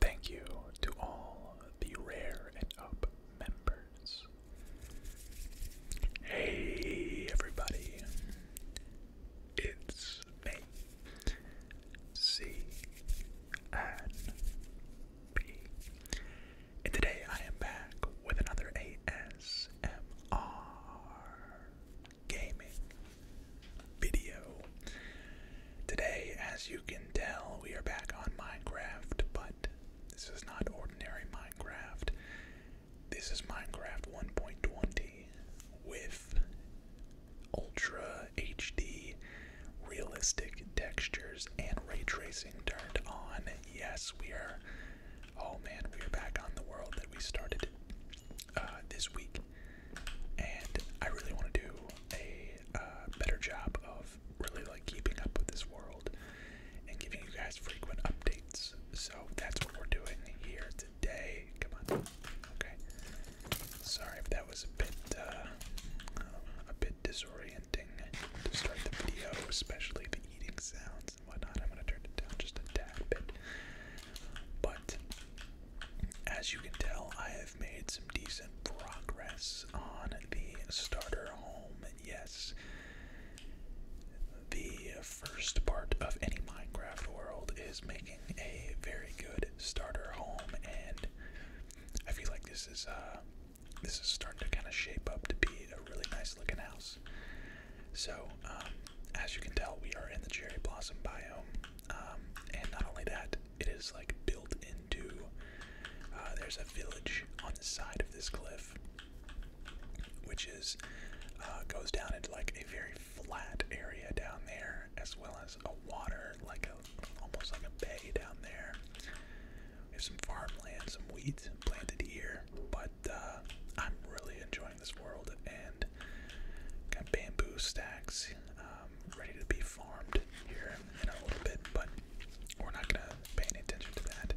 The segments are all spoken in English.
Thank you to all the Rare and Up members. Hey, everybody. It's me, and B. And today I am back with another ASMR gaming video. Today, as you can tell, we are back on Minecraft, but this is not ordinary Minecraft. This is Minecraft 1.20 with ultra HD realistic textures and ray tracing turned on. Yes, we are. Oh man, we are back on the world that we started uh, this week and I really want to do a uh, better job of really like keeping up with this world and giving you guys frequent updates. So that's what we're doing here today. Come on, okay. Sorry if that was a bit uh, a bit disorienting to start the video, especially the eating sounds and whatnot. I'm gonna turn it down just a tad bit, but as you can tell, I have I've made some decent progress on the starter home. Yes, the first part of any Minecraft world is making a very good starter home, and I feel like this is uh, this is starting to kind of shape up to be a really nice looking house. So, um, as you can tell, we are in the cherry blossom biome, um, and not only that, it is like built into. Uh, there's a village on the side of this cliff, which is uh, goes down into like a very flat area down there, as well as a water like a almost like a bay down there. We have some farmland, some wheat planted here, but uh, I'm really enjoying this world and got bamboo stacks is um, ready to be farmed here in a little bit, but we're not gonna pay any attention to that.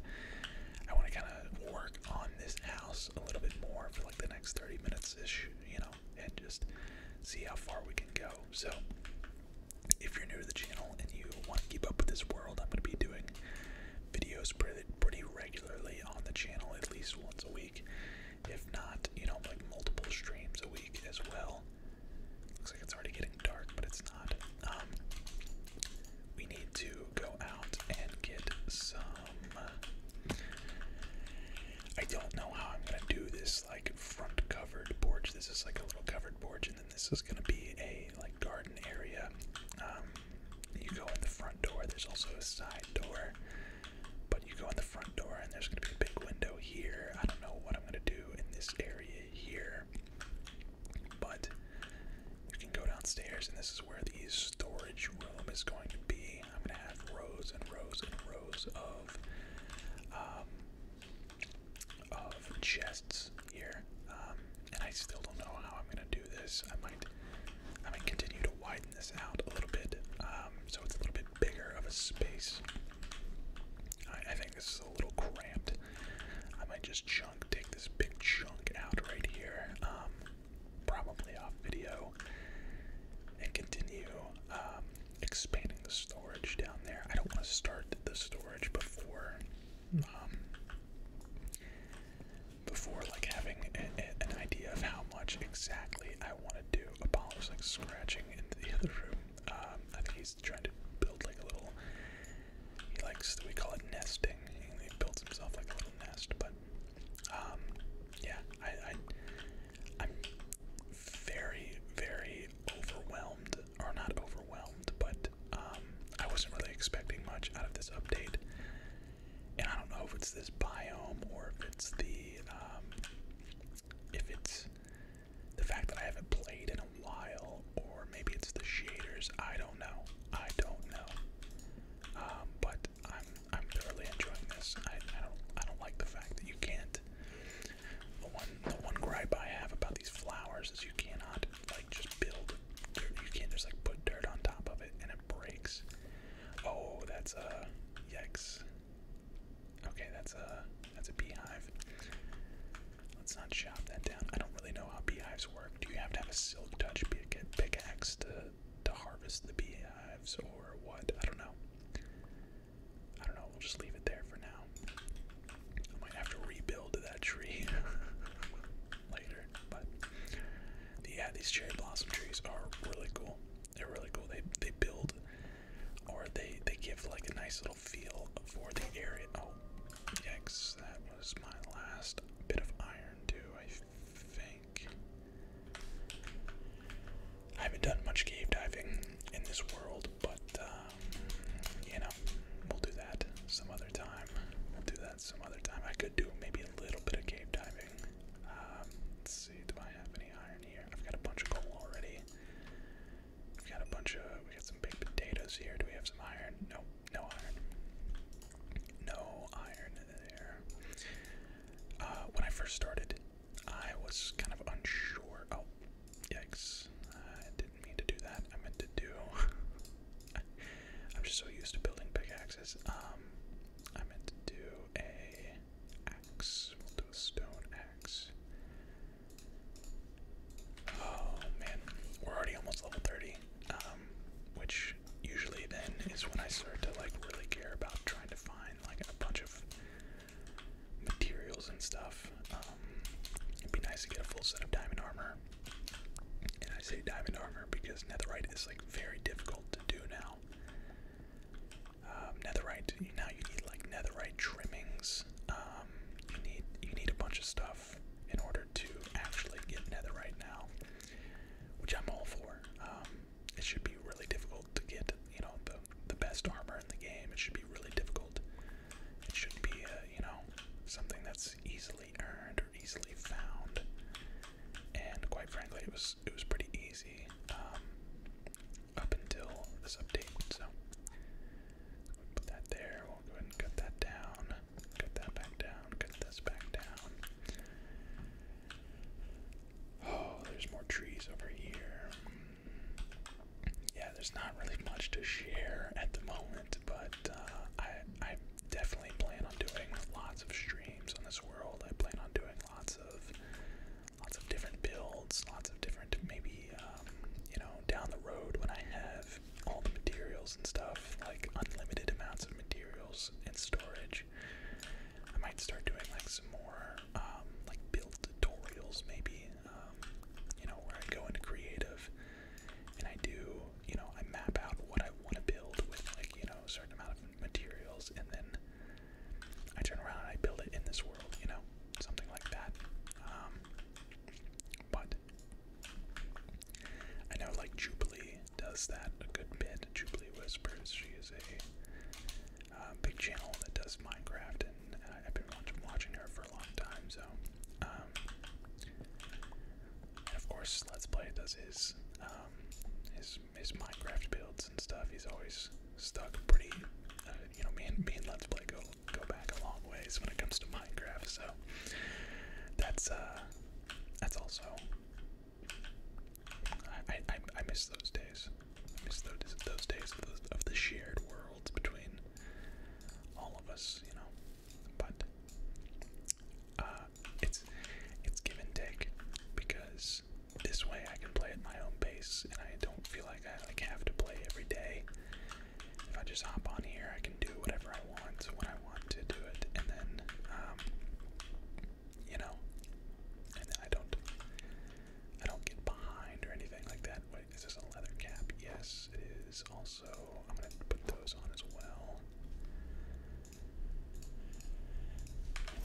I want to kind of work on this house a little bit more for like the next 30 minutes ish, you know, and just see how far we can go. So, if you're new to the channel and you want to keep up with this world, I'm gonna be doing videos pretty regularly on the channel, at least once a week if not, you know, like multiple streams a week as well. Looks like it's already getting dark, but it's not. Um, we need to go out and get some. Uh, I don't know how I'm gonna do this like front covered porch. This is like a little covered porch, and then this is gonna be a like garden area. Um, you go in the front door. There's also a side door. But you go in the front door, and there's going to be a big window here. I don't know what I'm going to do in this area here. But you can go downstairs, and this is where the storage room is going to be. I'm going to have rows and rows and rows of um, of chests here, um, and I still don't know how I'm going to do this. I might I might continue to widen this out a little bit, um, so it's a little bit bigger of a space I, think this is a little cramped. I might just chunk, take this big chunk out right here, um, probably off video, and continue um, expanding the storage down there. I don't want to start the storage before, um, before like having an idea of how much exactly I want to do. Apollo's like scratching into the other room. I um, think he's trying to build like a little. He likes we call it nesting. He builds himself like a little nest, but um, yeah, I, I am very very overwhelmed, or not overwhelmed, but um, I wasn't really expecting much out of this update. And I don't know if it's this biome or if it's the if it's the fact that I haven't played in a while, or maybe it's the shaders. I don't know. I don't know. Um, but I'm I'm thoroughly enjoying this. I, don't I don't like the fact that you can't. The one the one gripe I have about these flowers is you cannot like just build. You can't just like put dirt on top of it and it breaks. Oh, that's a uh, yikes. Okay, that's a that's a beehive. Let's not chop that down. I don't really know how beehives work. Do you have to have a silk touch pickaxe to to harvest the beehives or what? I don't know. I don't know. We'll just leave it there for now. I might have to rebuild that tree later, but yeah, these cherry blossom trees are really cool. They're really cool. They they build or they they give like a nice little feel for the area. Oh, yikes! That was my last bit of iron too. I think I haven't done much cave diving in this world, but um, you know, we'll do that some other time. We'll do that some other time. I could do maybe a little bit of cave diving. Um, let's see. Do I have any iron? here. I've got a bunch of coal already. We've got a bunch of, we got some big potatoes here. Do we have some iron? No, no iron. No iron there. Uh, when I first started, I was kind of unsure. Oh, yikes. I didn't mean to do that. I meant to do. I'm just so used to building pickaxes. Um, I meant to do a axe. We'll do a stone axe. Oh man, we're already almost level 30. Um, which usually then is when I start to like really care about trying to find like a bunch of materials and stuff. Um, it'd be nice to get a full set of diamond armor. And I say diamond armor because netherite is like very difficult to do now. Um, netherite. Now you need like netherite trimmings. Um, you need you need a bunch of stuff in order to actually get netherite now, which I'm all for. Um, it should be really difficult to get you know the the best armor in the game. It should be really difficult. It should be uh, you know something that's easily earned or easily found. And quite frankly, it was it was pretty easy up until this update. So put that there. We'll go ahead and cut that down. Cut that back down. Cut this back down. Oh, there's more trees over here. Yeah, there's not really much to share at the moment, but uh, I I definitely plan on doing lots of streams on this world. I plan on doing lots of lots of different builds, lots of different maybe um, you know down the road when I have all the materials and stuff like unlimited amounts of materials and storage. I might start doing like some more um, like build tutorials maybe um, you know where I go into creative and I do you know I map out what I want to build with like you know a certain amount of materials and then I turn around and I build it in this world, you know, something like that. Um, but I know, like Jubilee does that a good bit. Jubilee Whispers, she is a uh, big channel that does Minecraft, and uh, I've been watching her for a long time. So, um, of course, Let's Play does his um, his his Minecraft builds and stuff, he's always stuck pretty. Uh, you know, me and me and Let's Play go go back a long ways when it comes to Minecraft. So that's uh, that's also. I I I miss those days. I miss those those days of the, of the shared worlds between all of us. You know, but uh, it's it's give and take because this way I can play at my own pace and I don't feel like I like have to play every day. If I just hop on here, I can do whatever I want when I want to do it, and then, um, you know, and then I don't, I don't get behind or anything like that. Wait, is this a leather cap? Yes, it is. Also, I'm gonna put those on as well.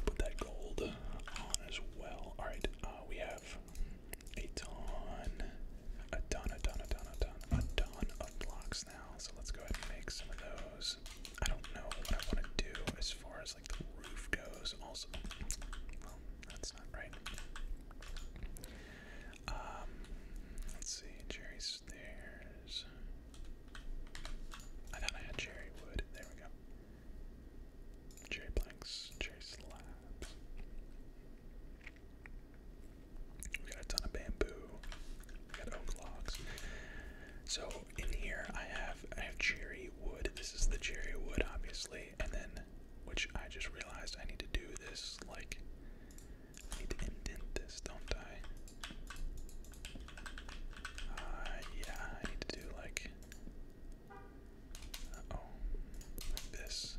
Put that gold as well. Alright, uh, we have a ton, a ton, a ton, a ton, a ton, a ton of blocks now. So let's go ahead and make some of those. I don't know what I want to do as far as like the roof goes. Also, well, that's not right. Um, let's see, Jerry stairs. I thought I had cherry wood. There we go. J blanks, J slabs. We got a ton of bamboo. We got oak logs. So in here I have I have cherry wood. This is the cherry wood, obviously, and then which I just realized I need to do this like I need to indent this, don't I? Uh, yeah, I need to do like oh. Like this.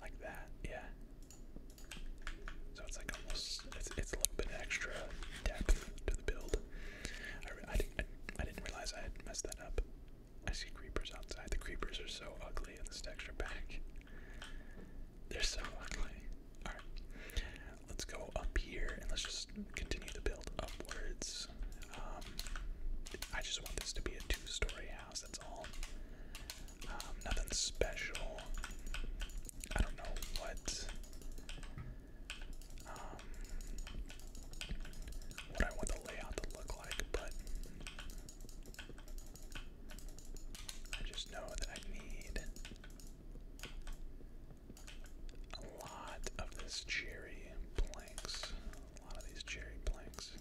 Like that, yeah. So it's like almost, it's, it's a little bit extra depth to the build. I, I, I, I didn't realize I had messed that up. I see creepers outside. The creepers are so ugly in this texture pack. They're so ugly. Alright let's go up here and let's just continue to build upwards. Um, I just want this to be a two-story house. That's all. Um, nothing special. I don't know what. Um, what I want the layout to look like, but I just know that I need a lot of this cherry planks. A lot of these cherry planks.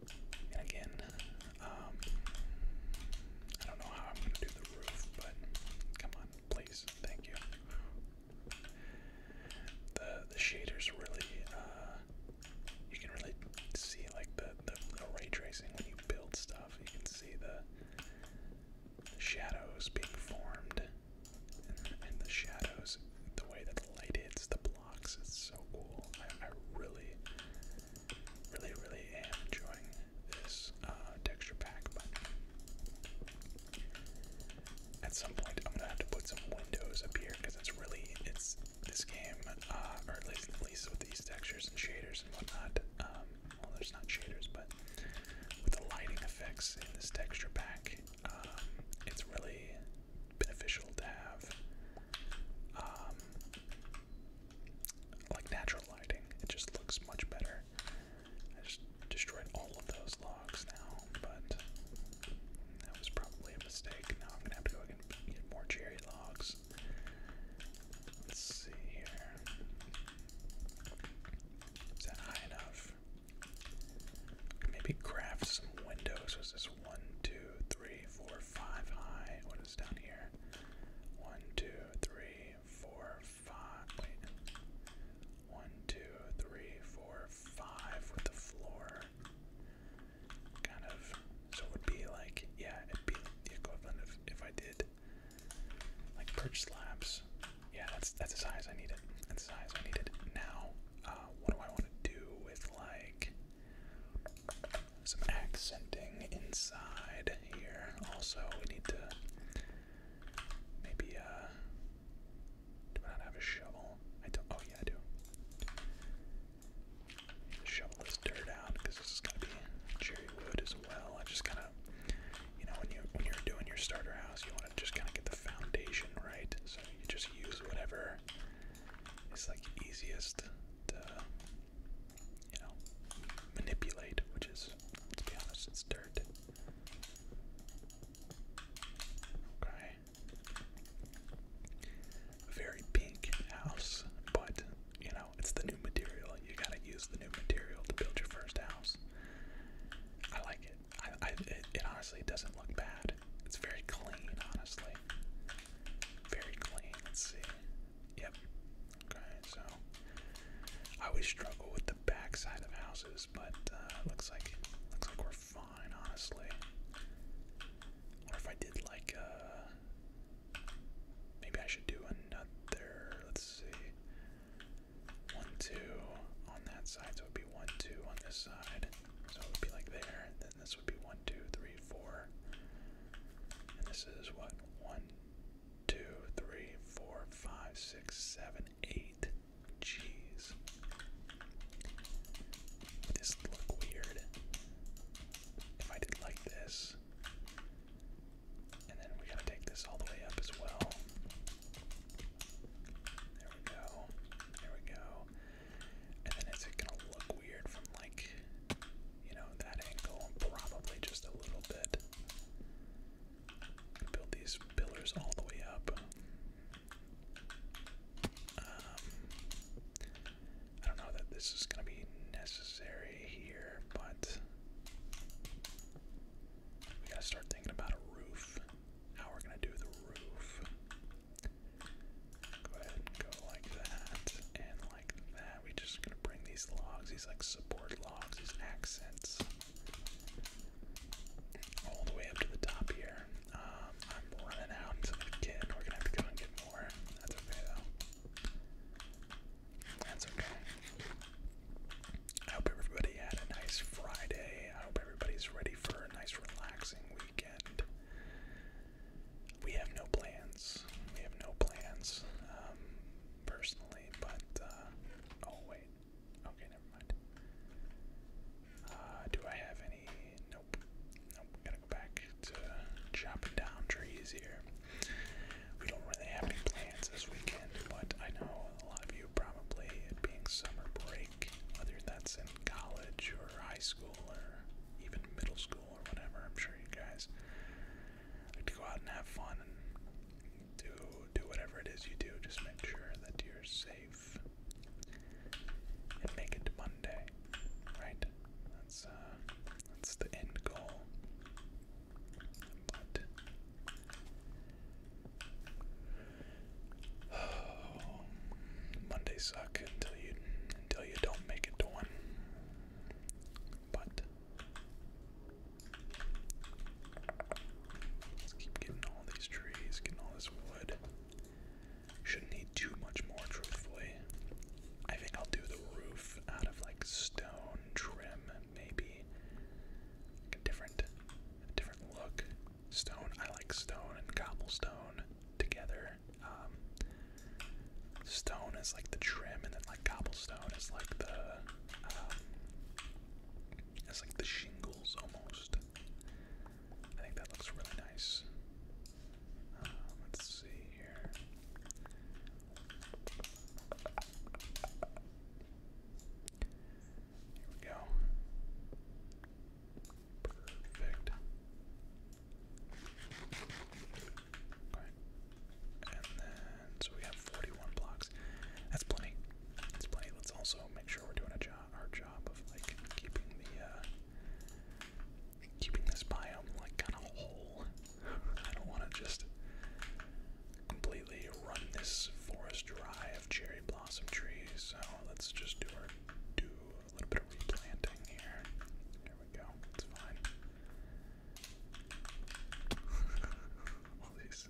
And again, um, I don't know how I'm gonna do the roof, but come on, please, thank you. The the shaders really, uh, you can really see like the, the the ray tracing when you build stuff. You can see the shadows being formed, and, the shadows, the way that the light hits the blocks is so cool. I, really, really, really am enjoying this uh, texture pack, but at some point I'm gonna have to put some windows up here because it's really, it's this game, uh, or at least, at least with these textures and shaders and whatnot. Um, well, there's not shaders, but with the lighting effects in this texture pack, um, it's really beneficial to have um, like natural lighting. It just looks much better. I just destroyed all of those logs now, but that was probably a mistake. Now I'm gonna have to go and get more cherry logs. Let's see here. Is that high enough? Maybe craft some windows. Was this one, two, three, four, five high? What is down here? One, two, three, four, five. Wait. One, two, three, four, five with the floor. Kind of. So it would be like, yeah, it'd be equivalent if I did like perch slabs. Yeah, that's that's the size I need it. the size I need it Now, uh, what do I want to do with like some accenting inside here? Also, we need to maybe uh do I not have a shovel? I don't oh yeah I do. Shovel this dirt out because this is gonna be cherry wood as well. I just kind of, you know, when you when you're doing your starter house, you want to just kind of get the foundation right. So you just use whatever is like easiest to, you know, manipulate, which is, let be honest, it's dirt. Okay. Very pink house, but you it's the new material. You gotta use the new material to build your first house. I like it. I, I it, honestly doesn't look bad. It's very clean, honestly. Very clean. Let's see. Yep. Okay, so I always struggle with the back side of houses, but uh, looks like looks like we're fine, honestly. What if I did like uh Maybe I should do another. Let's see. One, two on that side. So it would be one, two on this side. So it would be like there. Then this would be one, two, three, four. And this is what? One, two, three, four, five, six, seven, eight. Jeez. Would this look weird? If I did like this, and then we gotta take this all the way up as well. There we go. There we go. And then is it gonna look weird from like, you know, that angle? Probably just a little bit. Build these pillars all the way up. Um, I don't know that this is gonna be necessary here, but we gotta start thinking about a roof. How we're gonna do the roof. Go ahead go like that and like that. We just gonna bring these logs, these like support logs, these accents all the way up to the top here. Um, I'm running out of We're gonna have to go and get more. That's okay though. That's okay. I hope everybody had a nice Friday. I hope everybody's ready for a nice, relaxing weekend. We have no plans. We have no plans, um, personally, but, uh, oh, wait. Okay, never mind. Uh, do I have any? Nope. Nope. Gotta go back to chopping down trees here. We don't really have any plans this weekend, but I know a lot of you probably, it being summer break, whether that's in college or high school or even middle school or whatever, I'm sure you guys like to go out and have fun and do, do whatever it is you do. Just make sure that you're safe and make it to Monday, right? That's, uh, that's the end goal. What? suck until you until you don't make it to one. But let's keep getting all these trees, getting all this wood. Shouldn't need too much more, truthfully. I think I'll do the roof out of like stone trim, maybe a different, different look. Stone. I like stone and cobblestone together. Um, stone is like the trim, and then like cobblestone is like the, um, like the shingles almost. I think that looks really nice. Uh, let's see here. Here we go. Perfect. And then, so we have 41 blocks. That's plenty. That's plenty. Let's also make sure we're doing a job, our job of like keeping the, uh, keeping this biome like kind of whole. I don't want to just completely run this forest dry of cherry blossom trees, so let's just do do a little bit of replanting here. There we go. It's fine. All these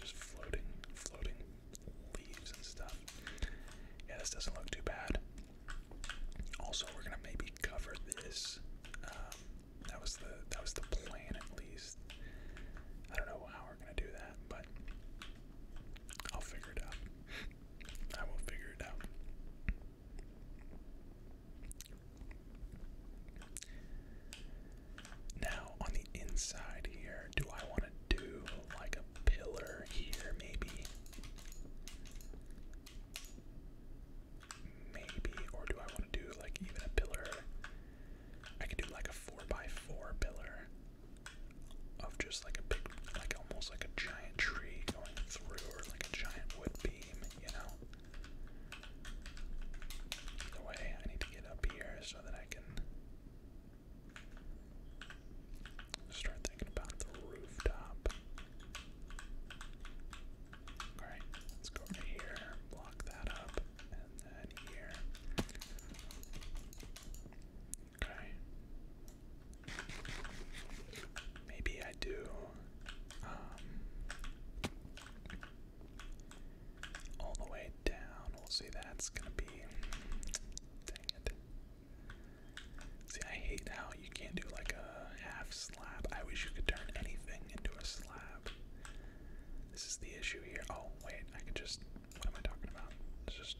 just floating, floating leaves and stuff. Yeah, this doesn't look too bad. Also, we're gonna maybe cover this um, that was the that was the plan at least. I don't know how we're gonna do that, but I'll figure it out. I will figure it out. Now on the inside here, do I want to do like a pillar here maybe? maybe, or do I want to do like even a pillar? I could do like a four by four pillar of just like a big, like almost like a giant tree going through, or like a giant wood beam, you know. Either way, I need to get up here so that I can start thinking about the rooftop. Alright, let's go over here, block that up, and then here. Okay. Maybe I do um all the way down. We'll see that's gonna be dang it. See I hate how you can't do like a half slab. I wish you could turn anything into a slab. This is the issue here. Oh, wait, I could just. What am I talking about? just.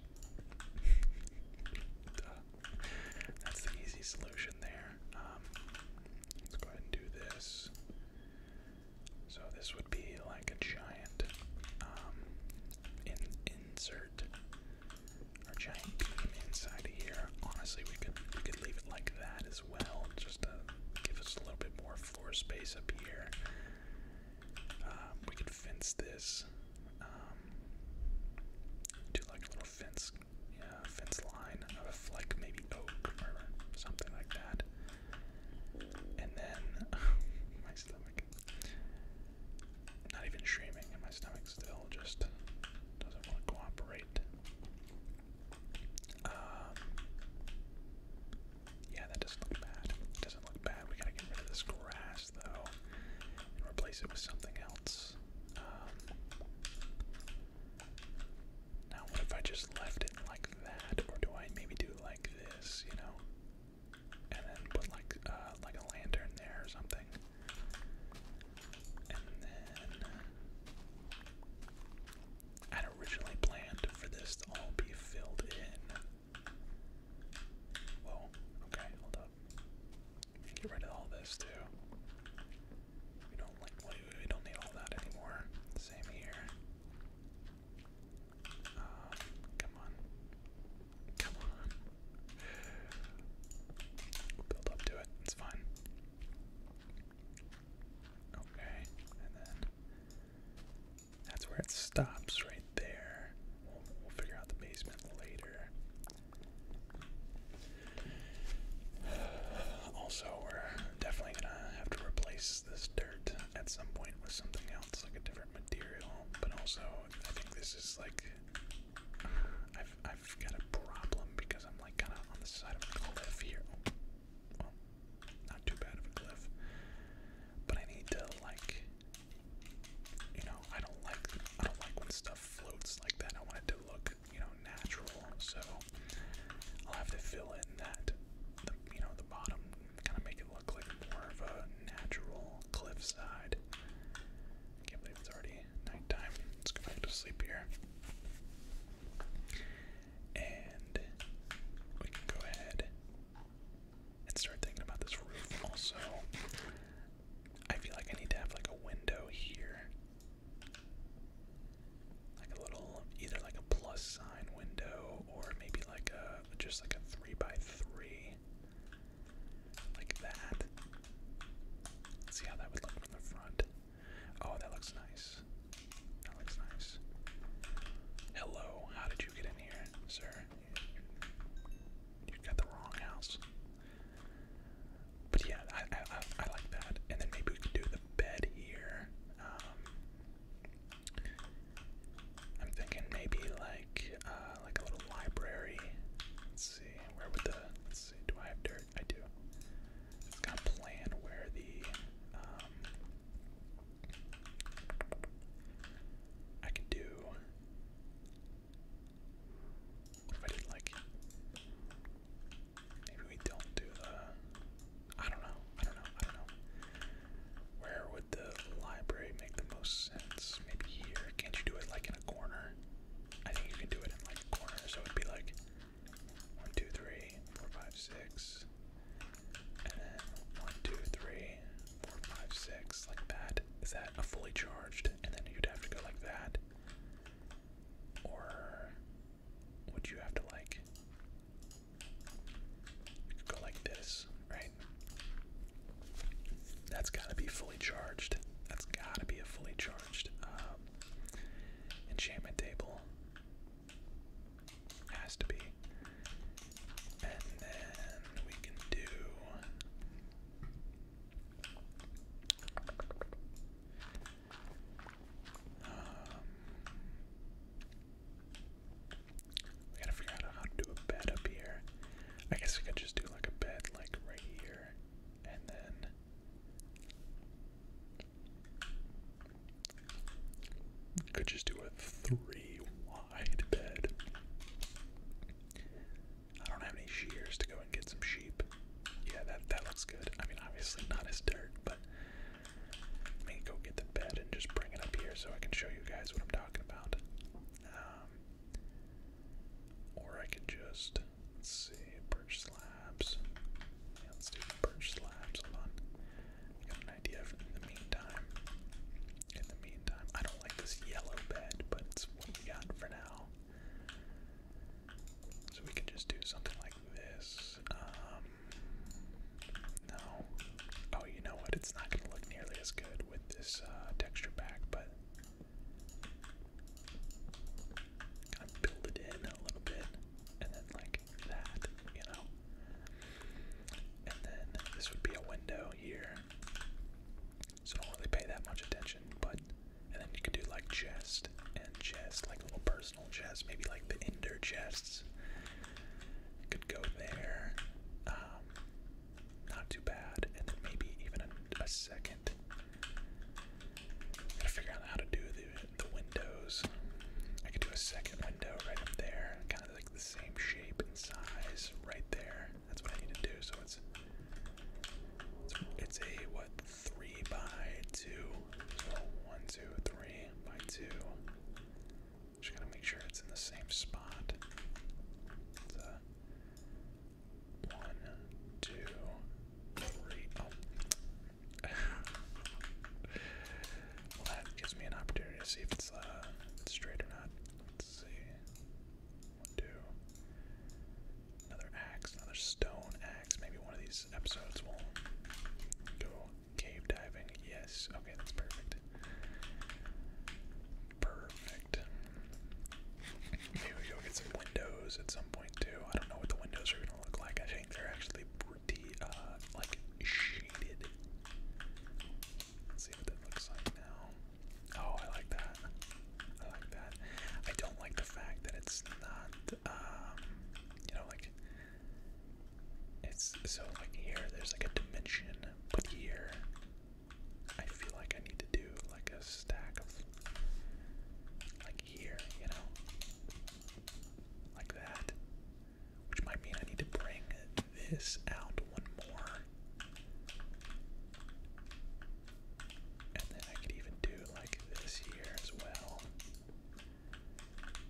That's the easy solution there. Um, let's go ahead and do this. So this would be like a giant um, insert, or giant inside here. Honestly, we could we could leave it like that as well, just to give us a little bit more floor space up here. Um, we could fence this, um, do like a little fence, fence line of like maybe oak or something like that. And then my stomach, not even streaming, and my stomach still just doesn't want to cooperate. Um, yeah, that doesn't look bad. doesn't look bad. We gotta get rid of this grass though, and replace it with something else. Um, now, what if I just left it like that, or do I maybe do it like this? You know, and then put like uh, like a lantern there or something. Uh, I'd originally planned for this to all be filled in. Whoa, okay, hold up. Get rid of all this too. We don't need all that anymore. Same here. Um, come on. Come on. build up to it. It's fine. Okay, and then that's where it stops right there. We'll, figure out the basement later. Also, we're definitely gonna have to replace this dirt at some point with something else, like a different material. But also, I think this is like I've, I've got a problem because I'm like kind of on the side of a cliff here. Oh, well, not too bad of a cliff, but I need to like, you know, I don't like I don't like when stuff floats like that. I want it to look, you know, natural. So I'll have to fill in that, you know, the bottom, kind of make it look like more of a natural cliff side. can't believe it's already nighttime. Let's go back to sleep here. And we can go ahead and start thinking about this roof also. I feel like I need to have like a window here. Like a little either like a plus sign window or maybe like a just like a three by three. Like that. see how that would look from the front. Oh, that looks nice. That looks nice. Hello, how did you get in here, sir? You got the wrong house. But yeah, I, I, I, like that. And then maybe we could do the bed here. Um, I'm thinking maybe like uh, like a little library. Let's see, where would the do I have dirt? I do. gotta plan where the um, I can do if I did like maybe we don't do the I don't know, I don't know, I don't know. Where would the library make the most sense? Maybe here. Can't you do it like in a corner? I think you can do it in like corners, so it'd be like one, two, three, four, five, six, and then one, two, three, four, five, six, like that. Is that a fully charged? And then you'd have to go like that, or would you have to like go like this, right? That's gotta be fully charged. That's gotta be a fully charged. Uh, Enchantment table has to be. And then we can do um, we gotta figure out how to do a bed up here. I guess we could just do like a bed like right here and then could just do a three wide bed. I don't have any shears to go and get some sheep. Yeah, that that looks good. I mean, obviously not as dirt, but I go get the bed and just bring it up here so I can show you guys what I'm talking about. Um, or I could just, let's see, birch slabs. let's do birch slabs. Hold on. got an idea in the meantime. In the meantime, I don't like this yellow bed, but it's what we got for now. So we can just do something like this. Um, no. Oh, you know what? It's not going to look nearly as good with this uh, texture back, but Kind of build it in a little bit, and then like that, you know. And then this would be a window here, so don't really pay that much attention. But and then you could do like chest and chest, like little personal chest, maybe like the ender chests. Could go there. Um, not too bad, and then maybe even a a second. Gotta figure out how to do the, the windows. I could do a second window right up there, kind of like the same shape and size right there. That's what I need to do. So it's it's a what three by two. So one, two, three by two. Just gotta make sure it's in the same spot. It's one, two, three. Oh. well, gives me an opportunity to see if it's uh, straight or not. Let's see. One, two. Another axe, another stone axe. Maybe one of these episodes will go cave diving. Yes. Okay, that's perfect. Perfect. Maybe we go get some windows at some point too. I don't know what the windows are gonna look like. I think they're actually pretty, uh, like shaded. see what that looks like now. Oh, I like that. I like that. I don't like the fact that it's not, um, you know, like it's so like here. There's like a dimension, but here. I feel like I need to do like a stack of like here, you know? Like that. Which might mean I need to bring this out one more. And then I could even do like this here as well.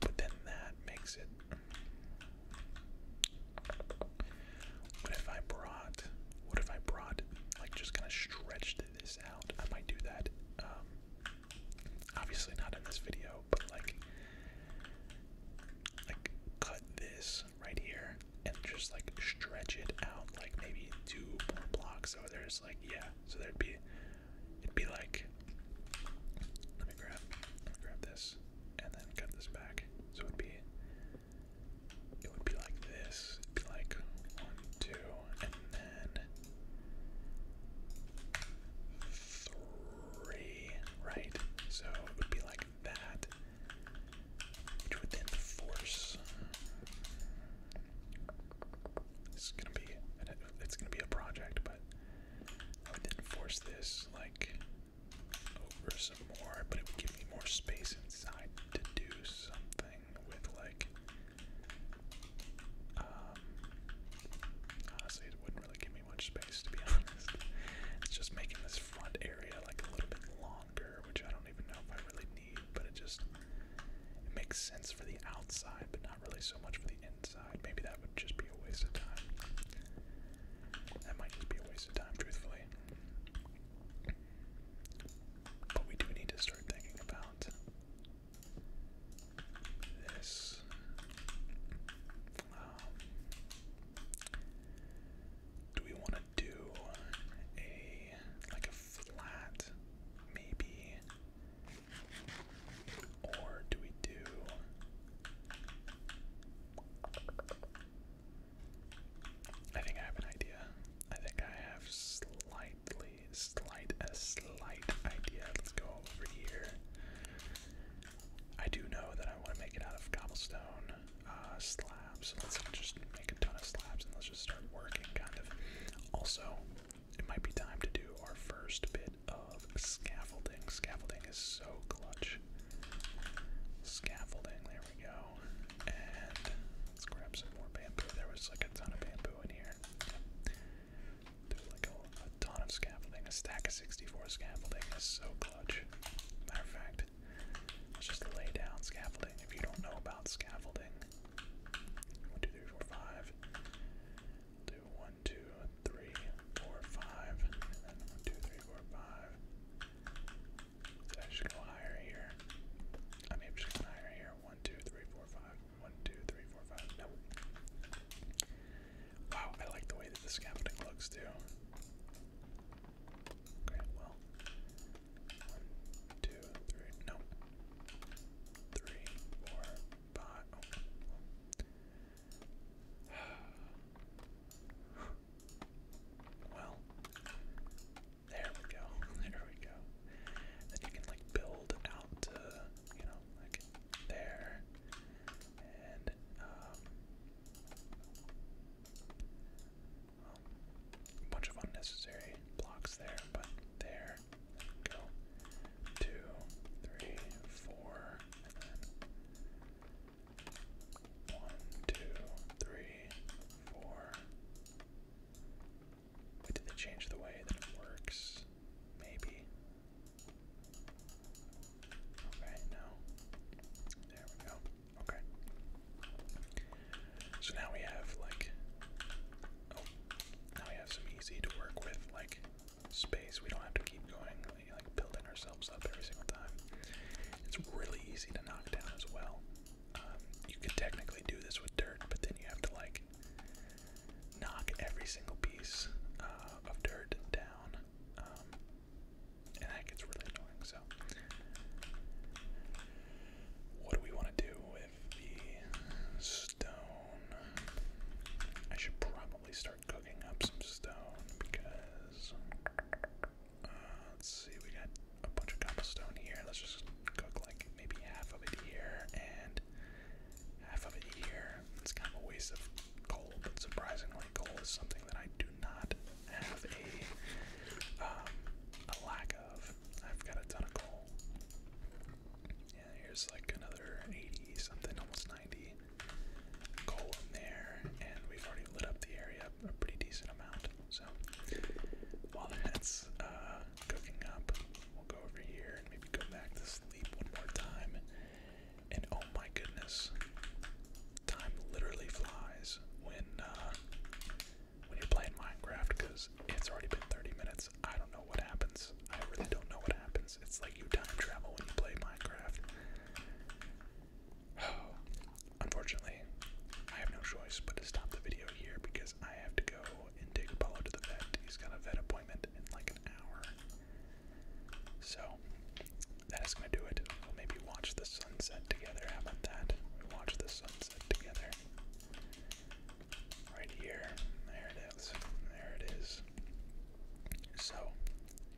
But then that makes it. What if I brought. What if I brought, like, just kind of stretched this out. I might do that. Um, obviously not in this video, but like, like cut this right here and just like stretch it out, like maybe two more blocks. So there's like, yeah. So there'd be, it'd be like. Let me grab, grab this, and then cut this back. So it'd be it would be like this. be like one, two, and then three, right? So it would be like that, which would then force. It's gonna be, it's gonna be a project, but I would then force this like over some more, but it would give me more space inside to do something with like um, honestly it wouldn't really give me much space to be honest. It's just making this front area like a little bit longer, which I don't even know if I really need, but it just makes sense for the outside, but not really so much for the inside. Maybe that would just be a waste of time. That might just be a waste of time, truthfully. But we do need to start thinking about this. Um, do we want to do a like a flat, maybe, or do we do? I think I have an idea. I think I have slightly, slight, a slight idea. Let's go over here. I do know that I want to make it out of cobblestone uh, slabs. So Let's just make a ton of slabs and let's just start working, kind of. Also, it might be time to do our first bit of scaffolding. Scaffolding is so clutch. Scaffolding, there there we go. And let's grab some more bamboo. There was like a ton of bamboo in here. Do like a, ton of scaffolding. A stack of 64 scaffolding is so clutch. Matter of fact, let's just lay down scaffolding. If you don't know about scaffolding, one, two, three, four, five. Do one, two, three, four, five, and then one, two, three, four, five. I just go higher here? I may have just gone higher here. One, two, three, four, five. One, two, three, four, five. No. Wow, I like the way that the scaffolding looks too. Okay, well. One, two, three. No. Three, four, five. Oh, well, there we go. There we go. Then you can like build out to, you know, like there. And um, well, a bunch of unnecessary blocks there, but there. there we go. Two, three, four, and then one, two, three, four. Wait, did they change the way that it works? Maybe. Okay, no. There we go. Okay. So now we have like oh now we have some easy to work with like space. We don't have to keep going like building ourselves up every single time. It's really easy to knock down as well you could technically do this with dirt, but then you have to like knock every single piece uh, of dirt down, um, and that gets really annoying. So, what do we want to do with the stone? I should probably start cooking up some stone because let's see, we got a bunch of cobblestone here. Let's just cook like maybe half of it here and half of it here. It's kind of a waste of coal, but surprisingly, coal is something that I do not have a um, lack of. I've got a ton of coal. Yeah, here's like another 80 something, almost 90 coal in there, and we've already lit up the area a pretty decent amount. So while that's uh, cooking up, we'll go over here and maybe go back to sleep one more time. And oh my goodness, time literally flies when uh, when you're playing Minecraft because it's already been 30 minutes. I don't know what happens. I really don't know what happens. It's like you time travel when you play Minecraft. Unfortunately, I have no choice but to stop the video here because I have to go and take Apollo to the vet. He's got a vet appointment in like an hour. So, that is going to do it. We'll maybe watch the sunset together. How about that? watch the sunset together. Right here. There it is. There it is. So,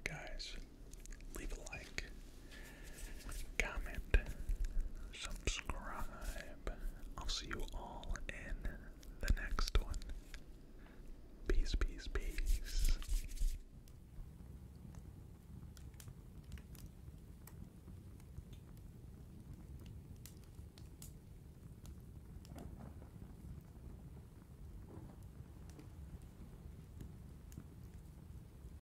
guys, leave a like comment, subscribe. I'll see you all in the next one. Peace, peace, peace.